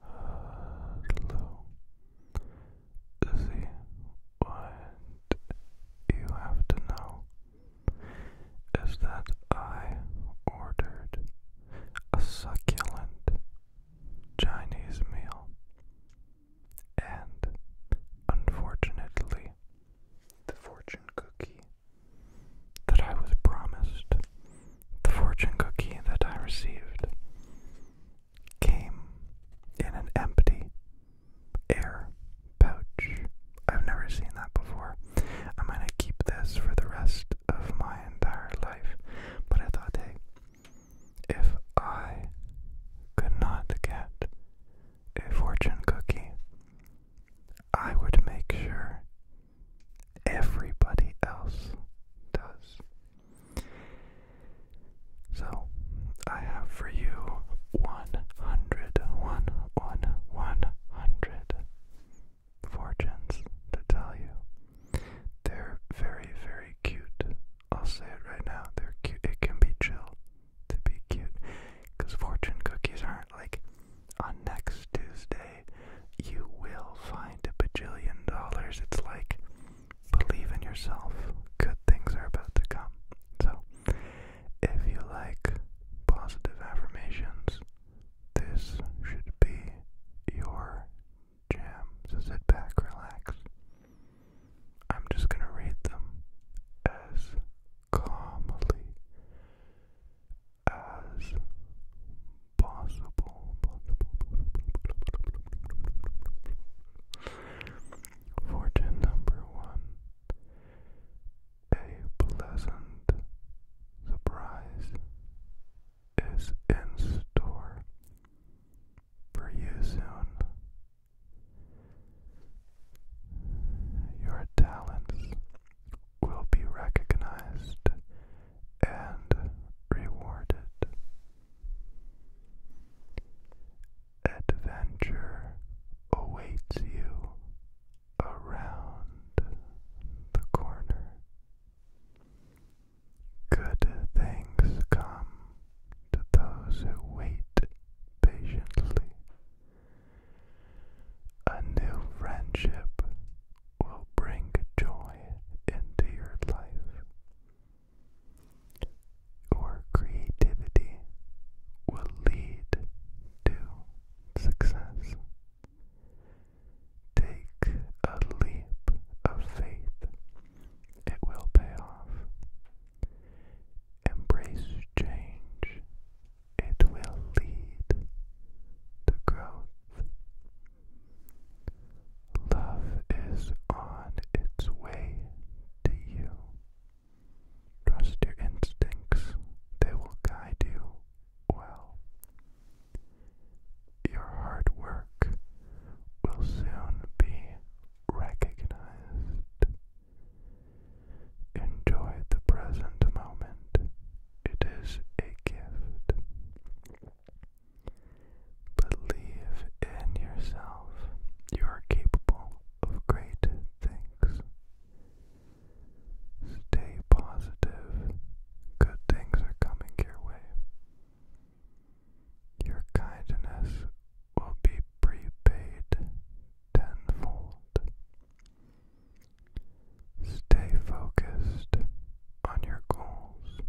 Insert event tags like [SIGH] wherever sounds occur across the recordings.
Hello. See what you have to know is that I ordered a succulent Chinese meal and unfortunately the fortune cookie that I was promised the fortune cookie that I received came in an empty air pouch. I've never seen that before. I'm going to keep this for the rest of my entire life. But I thought, hey, if I could not get a fortune cookie, I would make sure everybody else does. So, I have for you 100, one, 100 fortunes to tell you. They're very, very cute. I'll say it right now. They're cute. It can be chill to be cute because fortune cookies aren't like on next Tuesday way, you will find a bajillion dollars. It's like, believe in yourself. Good things are about to come. So, if you like positive affirmations, this should be your jam. So sit back, relax. I'm just going to read them as calmly as possible fortune number one a pleasant surprise is in store for you soon your talents will be recognized and rewarded. Adventure awaits you around the corner. Good things come to those who wait patiently. A new friendship will bring joy into your life. Your creativity will lead to success. Take a leap of faith, it will pay off. Embrace change, it will lead to growth. Love is on its way to you. Trust your instincts, they will guide you well. Your hard work will soon be recognized. Enjoy the present moment it is a gift. Believe in yourself. You are capable of great things. Stay positive. Good things are coming your way. Your kindness will be prepaid tenfold. Stay focused on your goals.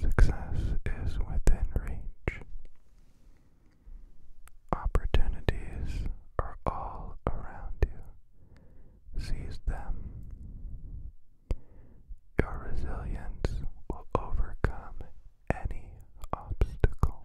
Success is within reach. Opportunities are all around you. Seize them. Your resilience will overcome any obstacle.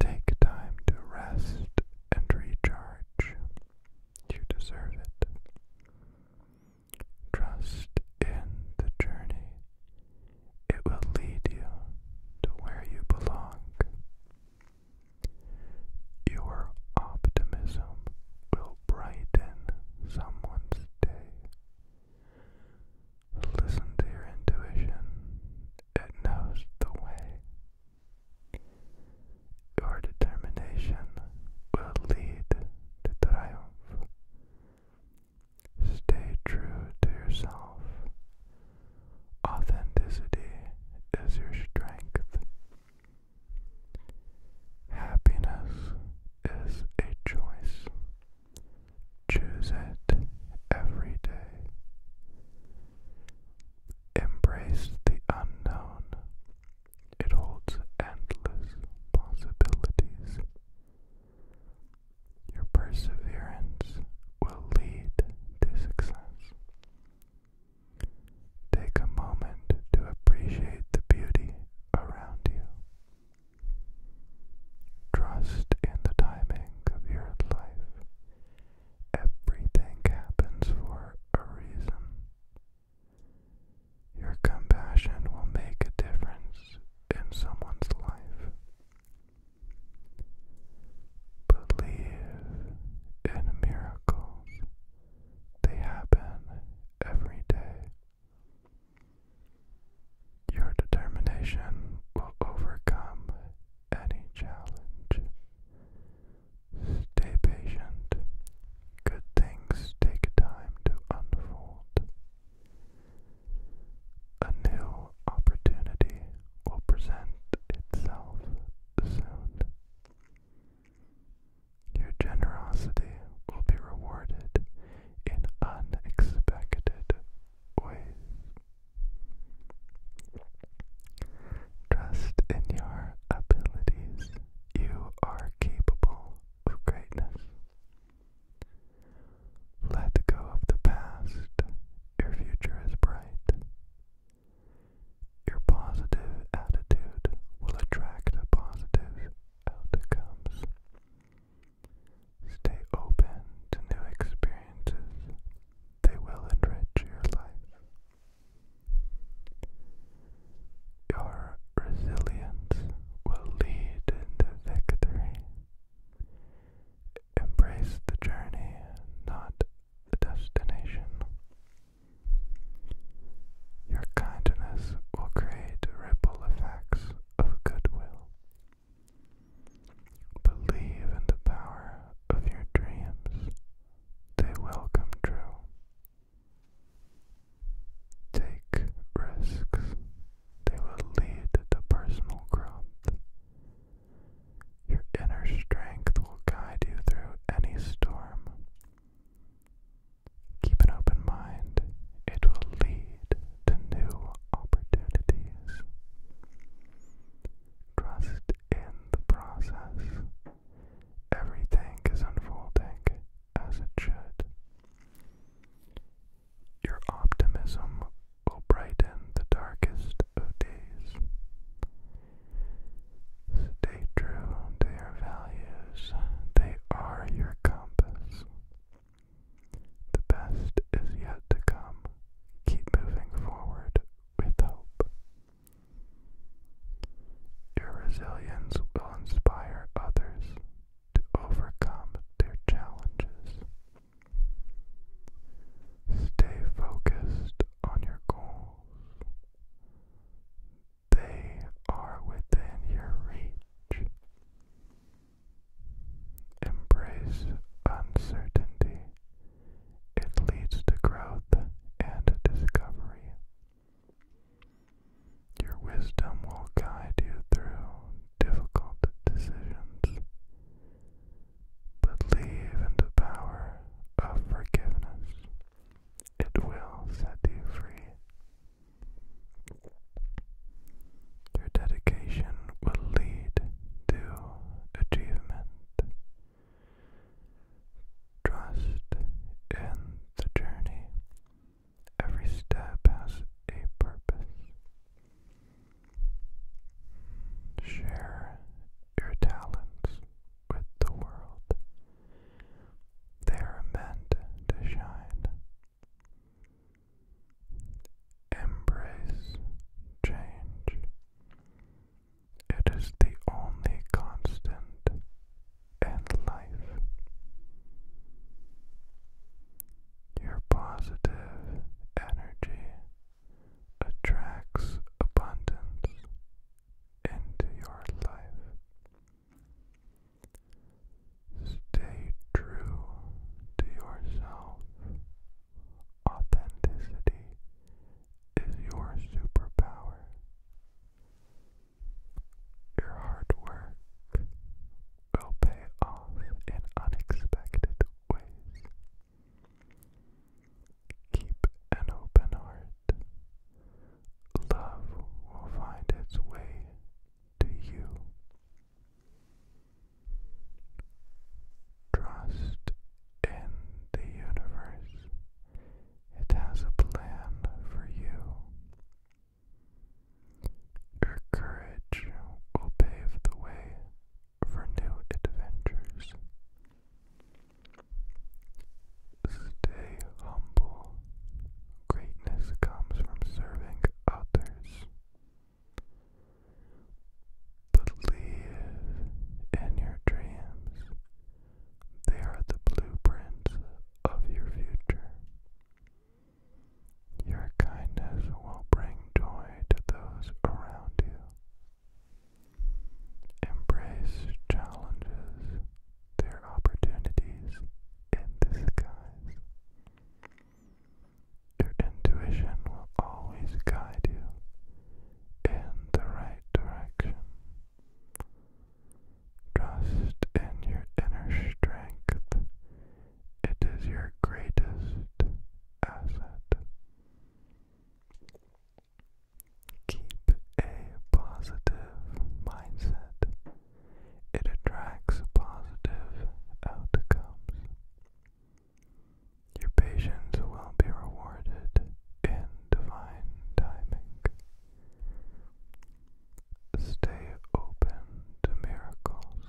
Take time to rest and recharge. You deserve it. Trust in the journey, it will lead you to where you belong. Your optimism will brighten someone's day. Listen to your intuition, it knows the way. Your determination will lead to triumph. Stay true to yourself. Authenticity is your strength. Happiness is a choice. Choose it every day. Embrace the unknown. It holds endless possibilities. Your perseverance will lead to success. Take a moment to appreciate the beauty around you. Trust in the timing of your life Everything happens for a reason. Your compassion will make a difference in someone's life. Believe in miracles. They happen every day. Your determination will overcome any challenge. Stay patient. Good things take time to unfold. A new opportunity will present itself soon. Your generosity will be rewarded in unexpected ways. Trust in your abilities. You are capable of greatness. Let go of the past. Your future is bright. Your positive attitude will attract positive outcomes. Stay open to new experiences. They will enrich your life. Your resilience will lead into victory. Embrace the journey, not the destination. Your kindness will create ripple effects of goodwill. Believe in the power of your dreams they will come true. Take risks, they will lead to personal growth. Your inner strength will guide you through any storm. Keep an open mind, it will lead to new opportunities. Trust in the process. Everything is unfolding as it should. Your optimism will brighten the darkest of days. Stay true to your values, they are your compass. The best is yet to come. Keep moving forward with hope. Your resilience will inspire others to overcome their challenges. Stay focused on your goals. They are within your reach. Embrace uncertainty it leads to growth and discovery. Your wisdom will guide you through difficult decisions, but leave in the power of forgiveness. It will set you free. Your dedication will lead to achievement. Trust in the journey. Every step has a purpose. Share your talents with the world. They are meant to shine. Embrace change. It is the only constant in life. Your positive energy attracts abundance into your life. Stay true to yourself. Authenticity is your superpower. Your hard work will pay off in unexpected ways. Keep an open heart. Love will find its way to you. Trust in the universe. It has a plan for you. Your courage will pave the way for new adventures. Stay humble. Greatness comes from serving others. Believe in your dreams. They are the blueprints of your future. Your kindness will bring joy to those around you. Embrace challenges, their opportunities in disguise. Your intuition will always guide you in the right direction. Trust in your inner strength. It is your greatest asset. Keep a positive mindset. It attracts positive outcomes. Your patience will be rewarded in divine timing. Stay open to miracles.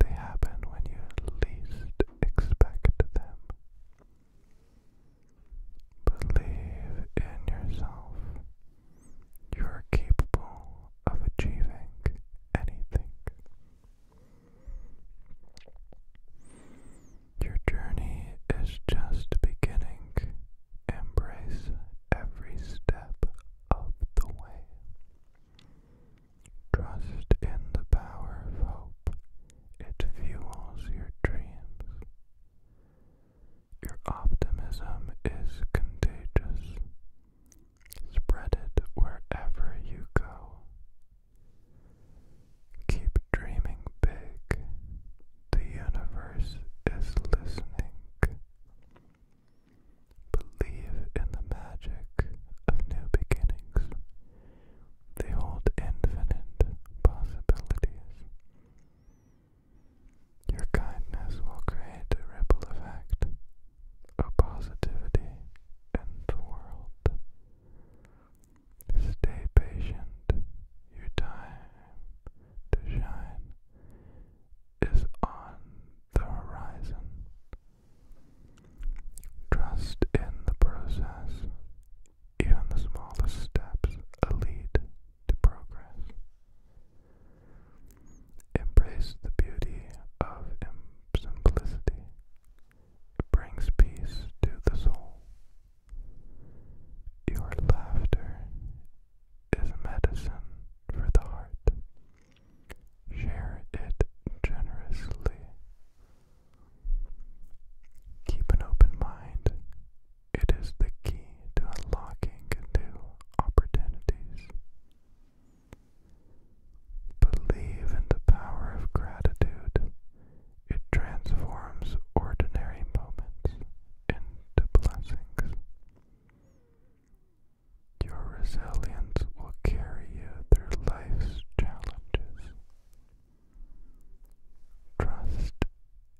They happen when you least expect them. Believe in yourself. You are capable of achieving anything. Your journey is just beginning. Embrace every step of the way. Trust in the power of hope, it fuels your dreams. Your optimism is contagious. Spread it wherever you go. Keep dreaming big. The universe is listening. Believe in the magic of new beginnings. They hold infinite possibilities. Your kindness will create a ripple effect of positivity in the world. Stay patient, your time to shine is on the horizon. Trust in the process, even the smallest steps lead to progress. Embrace the beauty of simplicity. It brings peace to the soul. Your laughter is medicine for the heart. Share it generously. Keep an open mind. It is the key to unlocking new opportunities. Believe in the power of gratitude. It transforms ordinary moments into blessings. Your resilience will carry you through life's challenges. Trust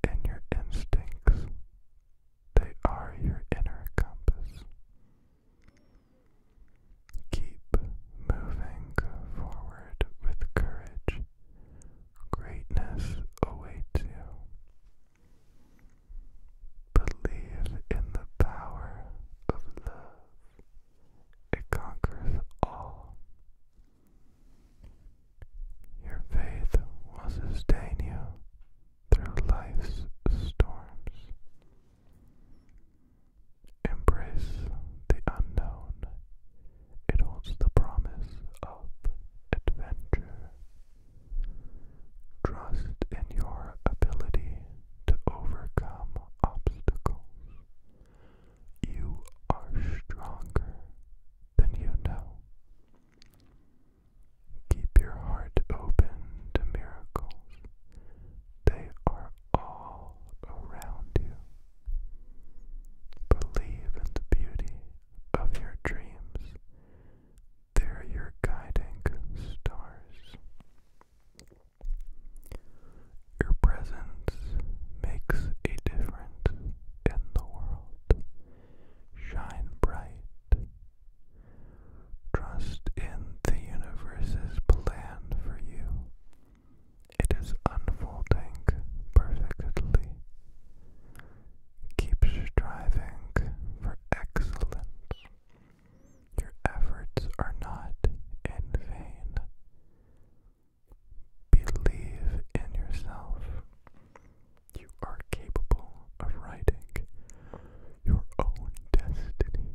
in your instincts. They are your inner compass. Keep moving forward with courage. Greatness awaits you. Believe in the power of love. It conquers all. Your faith will sustain you through life's storms. Embrace the unknown. It holds the promise of adventure. Trust in your ability to overcome obstacles. You are stronger than you know. Keep your heart open to miracles. They are all around you. Believe in the beauty of your dreams. They're your guiding stars. Your presence makes a difference in the world. Shine bright. Trust in the universe's plan for you. It is unfolding perfectly. Keep striving for excellence. Your efforts are not in vain. Believe in yourself. You are capable of writing your own destiny.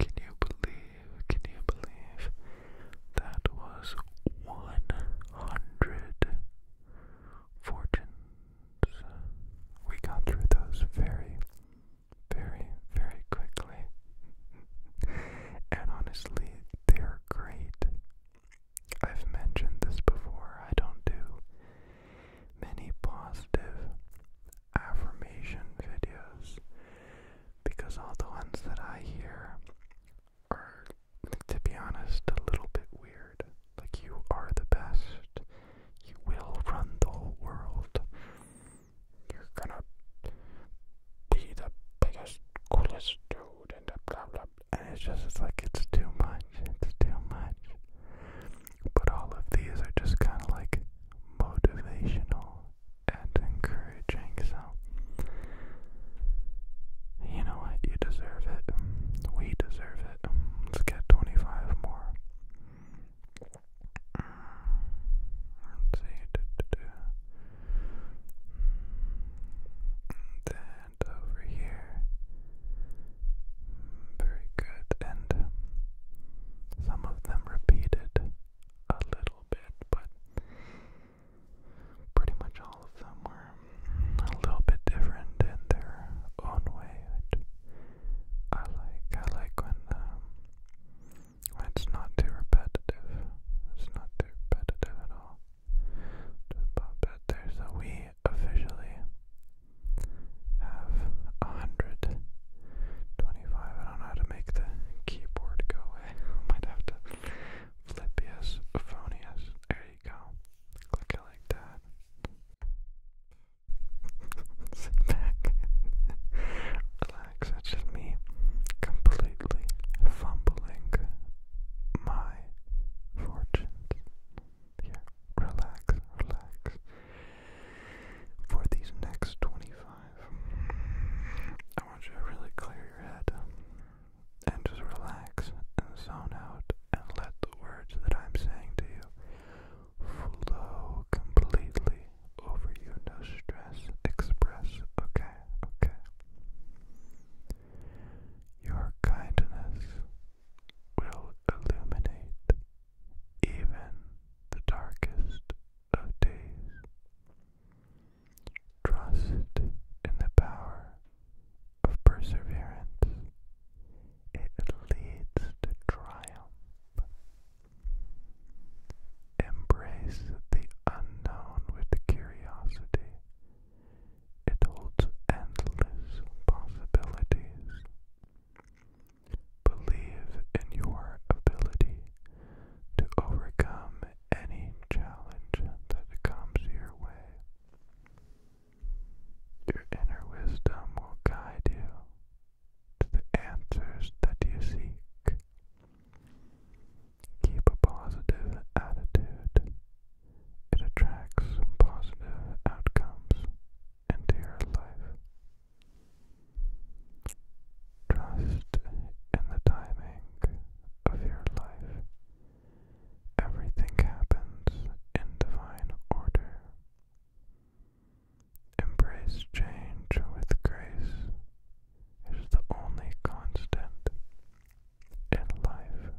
Can you believe, can you believe that was 100 fortunes? We got through those very, very, very quickly. and honestly, they're great. I've mentioned this before, I don't do many positive affirmation videos because all the ones that I hear are, to be honest, a little bit weird. Like, you are the best, you will run the whole world, you're gonna be the biggest, coolest dude, and blah blah. And it's just it's like it's too much. It's too much. But all of these are just kind of like motivational and encouraging. So, you know what? You deserve it. We deserve it. Let's get 25 more. Then over here. Mm, very good, and um, some of them repeated a little bit, but pretty much all of them were a little bit different in their own way. I like, I like when, um, when it's not too repetitive. It's not too repetitive at all. Just pop it there. So we officially have a hundred twenty-five. I don't know how to make the keyboard go away. [LAUGHS] might have to flip phonius. There you go. Click it like that. [LAUGHS] Sit back. Relax. That's just me completely fumbling my fortunes here. Relax, relax. For these next 25, I want you to really clear your head and just relax and zone out and let the words that I'm saying to you flow completely over you. No stress, express, okay, okay. Your kindness will illuminate even the darkest of days. Trust in the power of perseverance. It leads to triumph. Embrace the unknown with curiosity it holds endless possibilities. Believe in your ability to overcome any challenge that comes your way. Your inner wisdom will guide you to the answers that you seek. Keep a positive attitude it attracts positive outcomes into your life. Trust in the timing of your life. Everything happens in divine order. Embrace change with grace It's the only constant in life.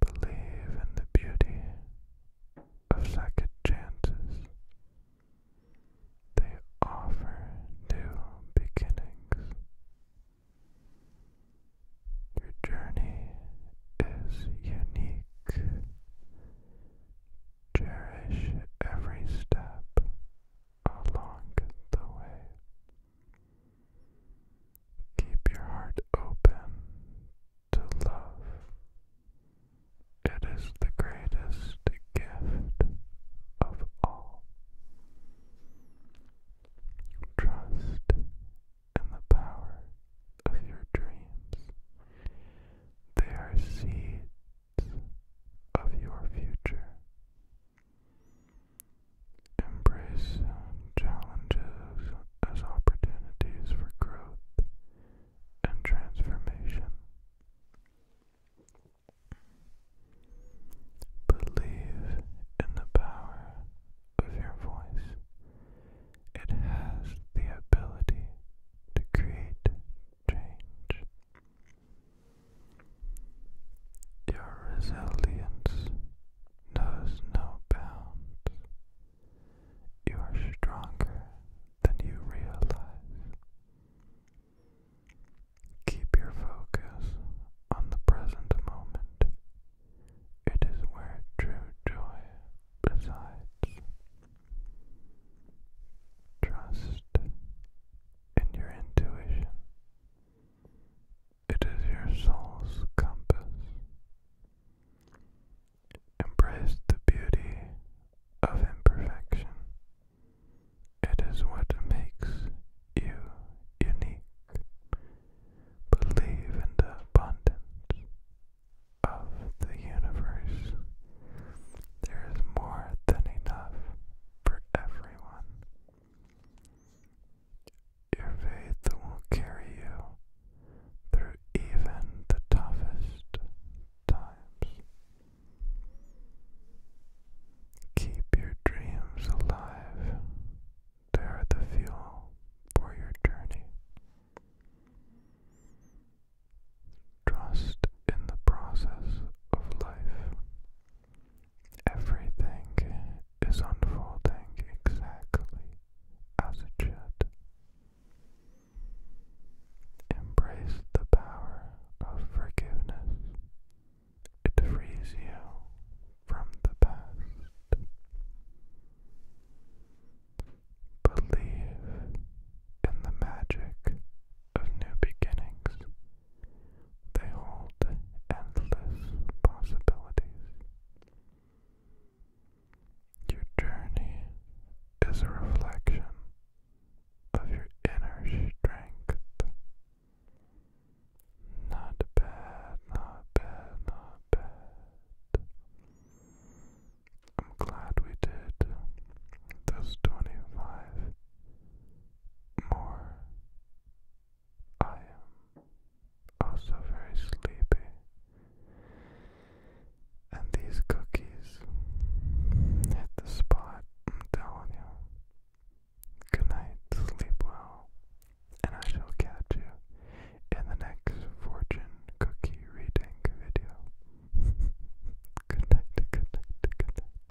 Believe in the beauty of second chances. They offer new beginnings. Your journey is unique. Cherish every step along the way. Keep your heart open to love. It is the greatest gift of all. Trust in the power of your dreams. They are seeds of your future. Embrace challenges as opportunities for growth and transformation. Believe in the power of your voice. It has the ability to create change. Your resilience knows no bounds. You are stronger than you realize. Keep your focus on the present moment. It is where true joy resides. Trust in your intuition. It is your soul's compass. Embrace the beauty of imperfection. It is what makes you unique. Believe in the abundance of the universe. There is more than enough for everyone. Your faith will carry you through even the toughest times. Keep your dreams alive. They are the fuel for your journey. Trust in the process of life. Everything is unfolding exactly as it should. Embrace the power of forgiveness. It frees you from the past. Believe in the magic of new beginnings they hold endless possibilities. Your journey is a reflection of your inner strength. Not bad, not bad, not bad. I'm glad we did those 25 more I am also very sleepy. And these cookies hit the spot, I'm telling you. Good night, sleep well, and I shall catch you in the next fortune cookie reading video. [LAUGHS] good night, good night, good night.